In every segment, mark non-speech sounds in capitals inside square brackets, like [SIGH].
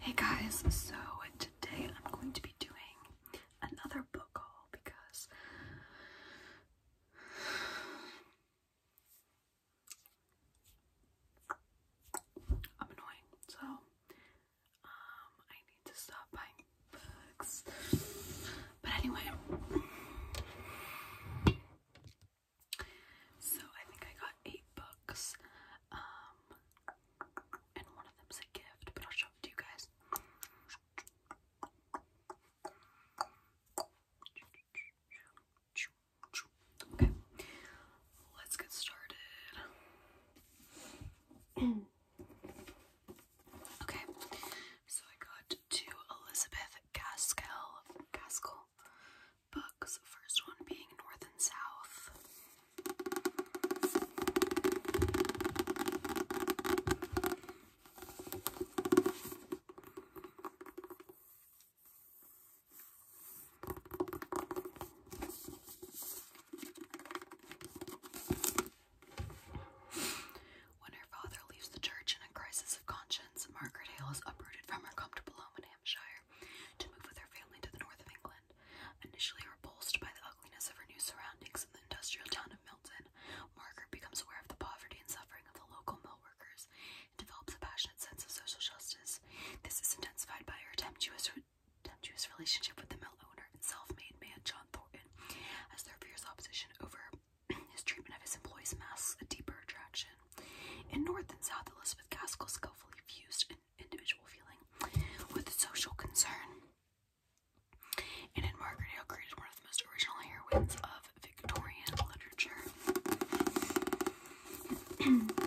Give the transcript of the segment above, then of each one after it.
Hey guys, so today I'm going to be doing another book haul because I'm annoying, so um I need to stop buying books. But anyway, so I think I got eight books. Um, and one of them's a gift, but I'll show it to you guys. Okay, let's get started. [CLEARS THROAT] okay, so I got to Elizabeth Gaskell Gaskell books. First one being North and South. When her father leaves the church in a crisis of conscience, Margaret Hale is uprooted from her comfortable home in Hampshire to move with her family to the north of England. Initially repulsed by the ugliness of her new surroundings in the industrial town of Milton, Margaret becomes aware of the poverty and suffering of the local mill workers and develops a passionate sense of social justice. This is intensified by her tempestuous, relationship with the mill owner and self-made man John Thornton as their fierce opposition over [CLEARS THROAT] His treatment of his employees masks a deeper attraction. In North and South, Elizabeth Gaskell skillfully fused an individual feeling with a social concern. And in Margaret Hale created one of the most original heroines of Victorian literature. [CLEARS THROAT]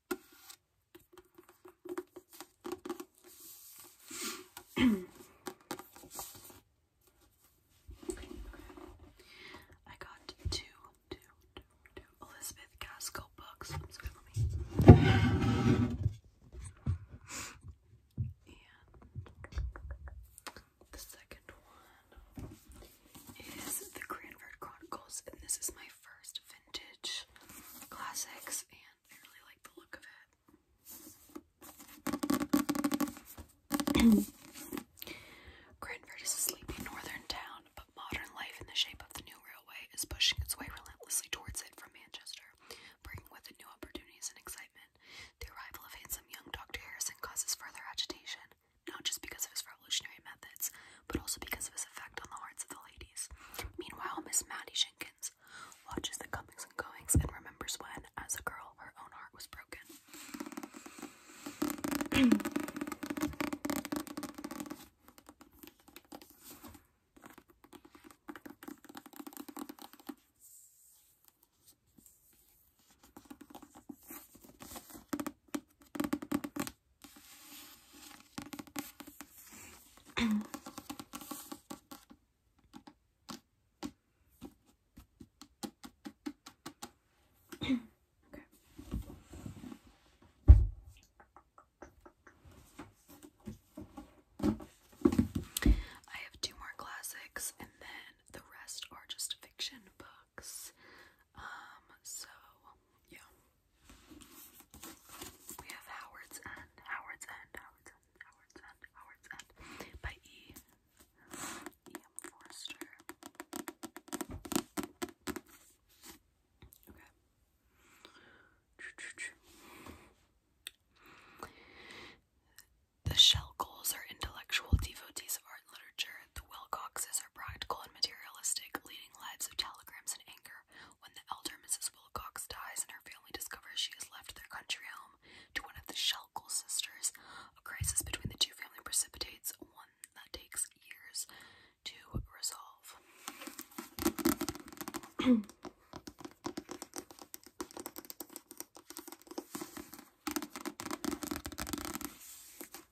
[CLEARS THROAT] I got two, two, two, two Elizabeth Gaskell books. And the second one is The Cranford Chronicles, and this is my first vintage classics, [CLEARS THROAT] sleepy northern town, but modern life in the shape of the new railway is pushing its way relentlessly towards it from Manchester, bringing with it new opportunities and excitement. The arrival of handsome young Dr. Harrison causes further agitation, not just because of his Evolutionary methods, but also because of his effect on the hearts of the ladies. Meanwhile, Miss Mattie Jenkins watches the comings and goings and remembers when, as a girl, her own heart was broken. I have two more classics and then the rest are just fiction books. Um, so yeah. We have Howard's End, Howard's End, Howard's End, Howard's End, Howard's End by E. E. M. Forster. Okay. The Shelgoals are intellectual devotees of art the Wilcoxes are practical and materialistic, leading lives of telegrams and anger. When the elder Mrs. Wilcox dies and her family discovers she has left their country home to one of the Shelkle sisters, a crisis between the two families precipitates one that takes years to resolve.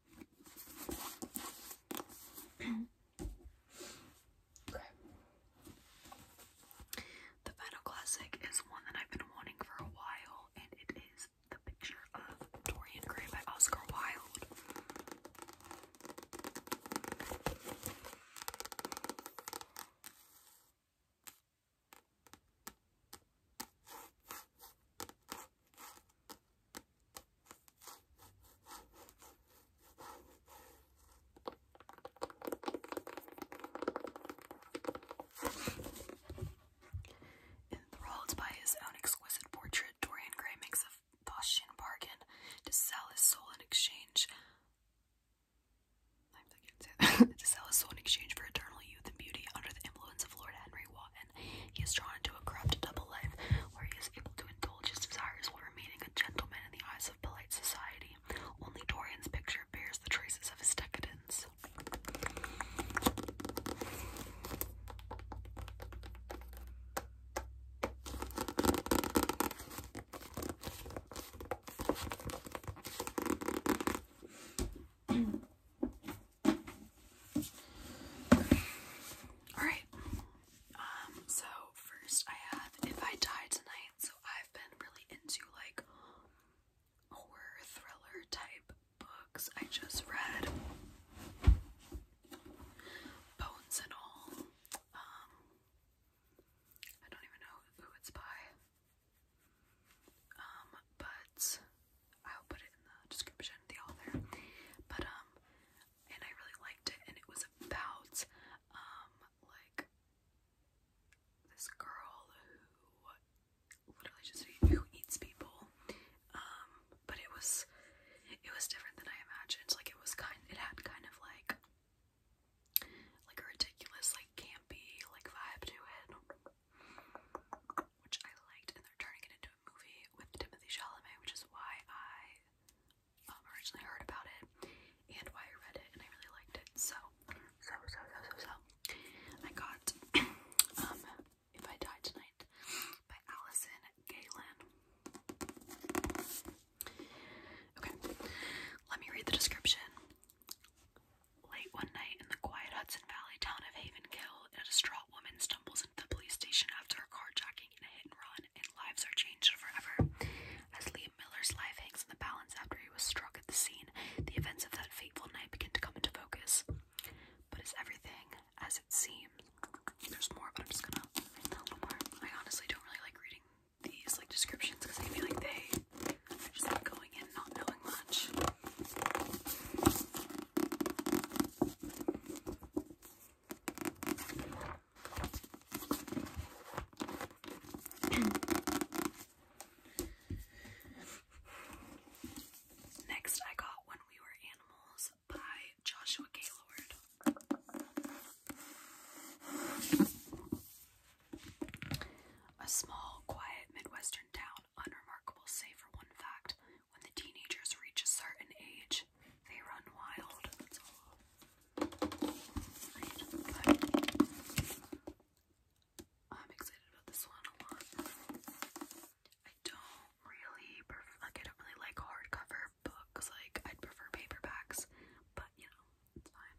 The final classic is one that I've been wanting for a while, and it is the picture of Dorian Gray by Oscar Wilde. Enthralled by his own exquisite portrait, Dorian Gray makes a Boschian bargain to sell his soul in exchange. [LAUGHS] to sell his soul in exchange for eternal youth and beauty under the influence of Lord Henry Watt he is drawn into a corrupt double life where he is able to indulge his desires while remaining a gentleman in the eyes of polite society. Only Dorian's picture bears the traces of his decadence. Alright. Um, so first I have If I Die Tonight. So I've been really into like horror thriller type books. I just read Bones and All. Um I don't even know who it's by. Um, but I'll put it in the description, the author. But um, and I really liked it, and it was about um like this girl who literally just who eats people. Um, but it was it was different than I imagined. Like it was kind, it had kind of like like a ridiculous, like campy, like vibe to it which I liked, and they're turning it into a movie with Timothy Chalamet, which is why I um, originally heard about it and why I read it, and I really liked it. So, so, so, so, so, I got [CLEARS THROAT] um, If I Die Tonight by Allison Galen. Okay, let me read the description. Late one night in the quiet Hudson Valley town of Havenkill, a distraught woman stumbles into the police station after a carjacking and a hit and run, and lives are changed forever. As Liam Miller's life hangs in the balance after he was struck at the scene, the events of that fateful night begin to come into focus. But is everything as it seems? There's more, but I'm just gonna read more. I honestly don't really like reading these like descriptions because I feel like they just like going in not knowing much. [CLEARS THROAT] Next, I got When We Were Animals by Joshua Gaylord. A small, quiet Midwest unremarkable save for one fact. When the teenagers reach a certain age, they run wild. Right. I'm excited about this one a lot. I don't really, like, I don't really like hardcover books. Like, I'd prefer paperbacks, but you know, it's fine.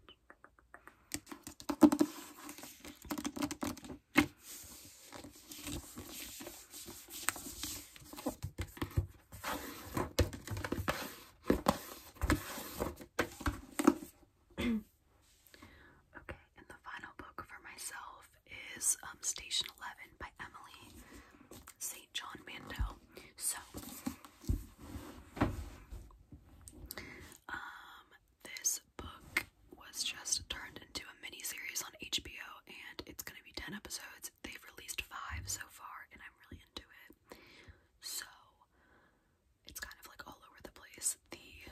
[CLEARS THROAT] okay, and the final book for myself is um, Station 11 by Emily St. John Mandel. So, um, this book was just turned into a mini series on HBO, and it's gonna be 10 episodes. They've released five so far, and I'm really into it. So it's kind of like all over the place. The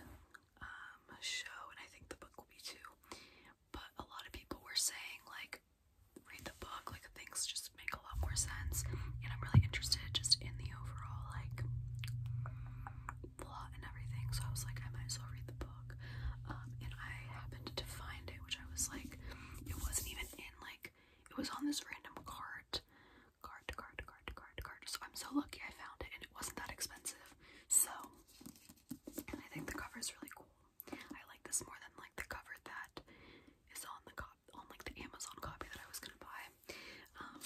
um, show, and I think the book will be too, but a lot of people were saying, like, read the book, like, things just make a lot lot more sense. And I'm really interested just in the overall like plot and everything. So I was like, I might as well read the book. Um, and I happened to find it, which I was like, it wasn't even in like it was on this random cart. Card, card, card, card, card. So I'm so lucky I found it and it wasn't that expensive. So and I think the cover is really cool. I like this more than like the cover that is on the on like the Amazon copy that I was gonna buy. Um,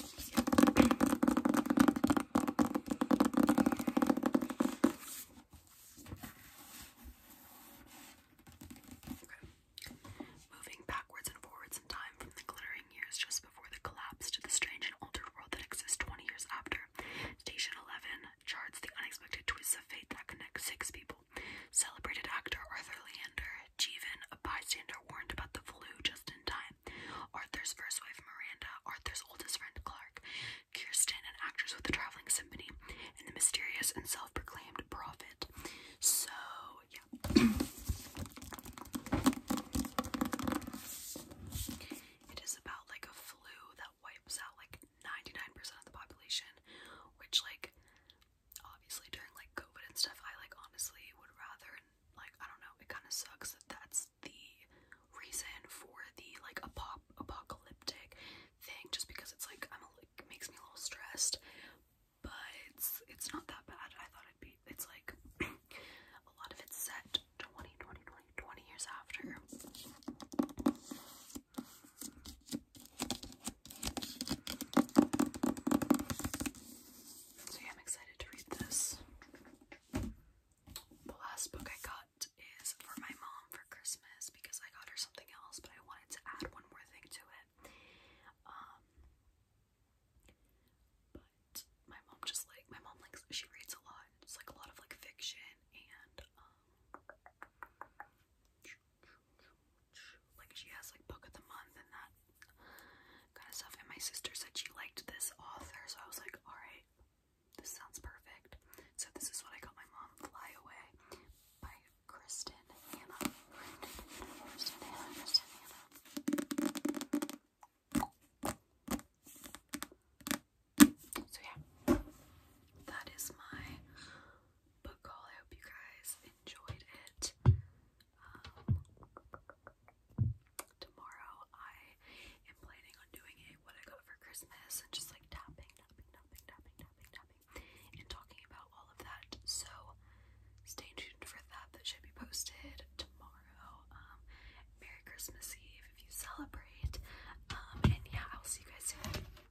okay. Moving backwards and forwards in time from the glittering years just before the collapse to the strange and altered world that exists 20 years after, Station 11 charts the unexpected twists of fate that connect six people. Celebrated actor Arthur Leander, Jeevan, a bystander, warned about the flu just in time. Arthur's first wife Miranda, Arthur's oldest friend Clark, Kirsten, an actress with the traveling symphony, and the mysterious and self-proclaimed prophet. So, yeah. it is about like a flu that wipes out like 99% of the population, which like obviously during like COVID and stuff, I like honestly would rather like I don't know, it kind of sucks that that's the reason for the like apop apocalyptic thing, just because it's like I'm a, like makes me a little stressed, but it's it's not that bad. I thought it'd be. It's like [CLEARS THROAT] a lot of it's set 20, 20, 20, 20 years after. So I'm excited to read this. The last book I got is for my mom for Christmas because I got her something else, but I wanted to add one more thing to it. Um, but my mom just like my mom likes she reads a lot. It's like a lot of like fiction and um, like she has like book of the month and that kind of stuff and my sister said she liked this author so I was like all right this sounds perfect so this is what I got my mom Fly Away by Kristen Hannah. so yeah that is my book haul. I hope you guys enjoyed it. Um, tomorrow I am planning on doing a what I got for Christmas and just like tapping, tapping, tapping, tapping, tapping, tapping, and talking about all of that. So stay tuned for that. That should be posted tomorrow. Um, Merry Christmas Eve if you celebrate. Um, and yeah, I'll see you guys soon.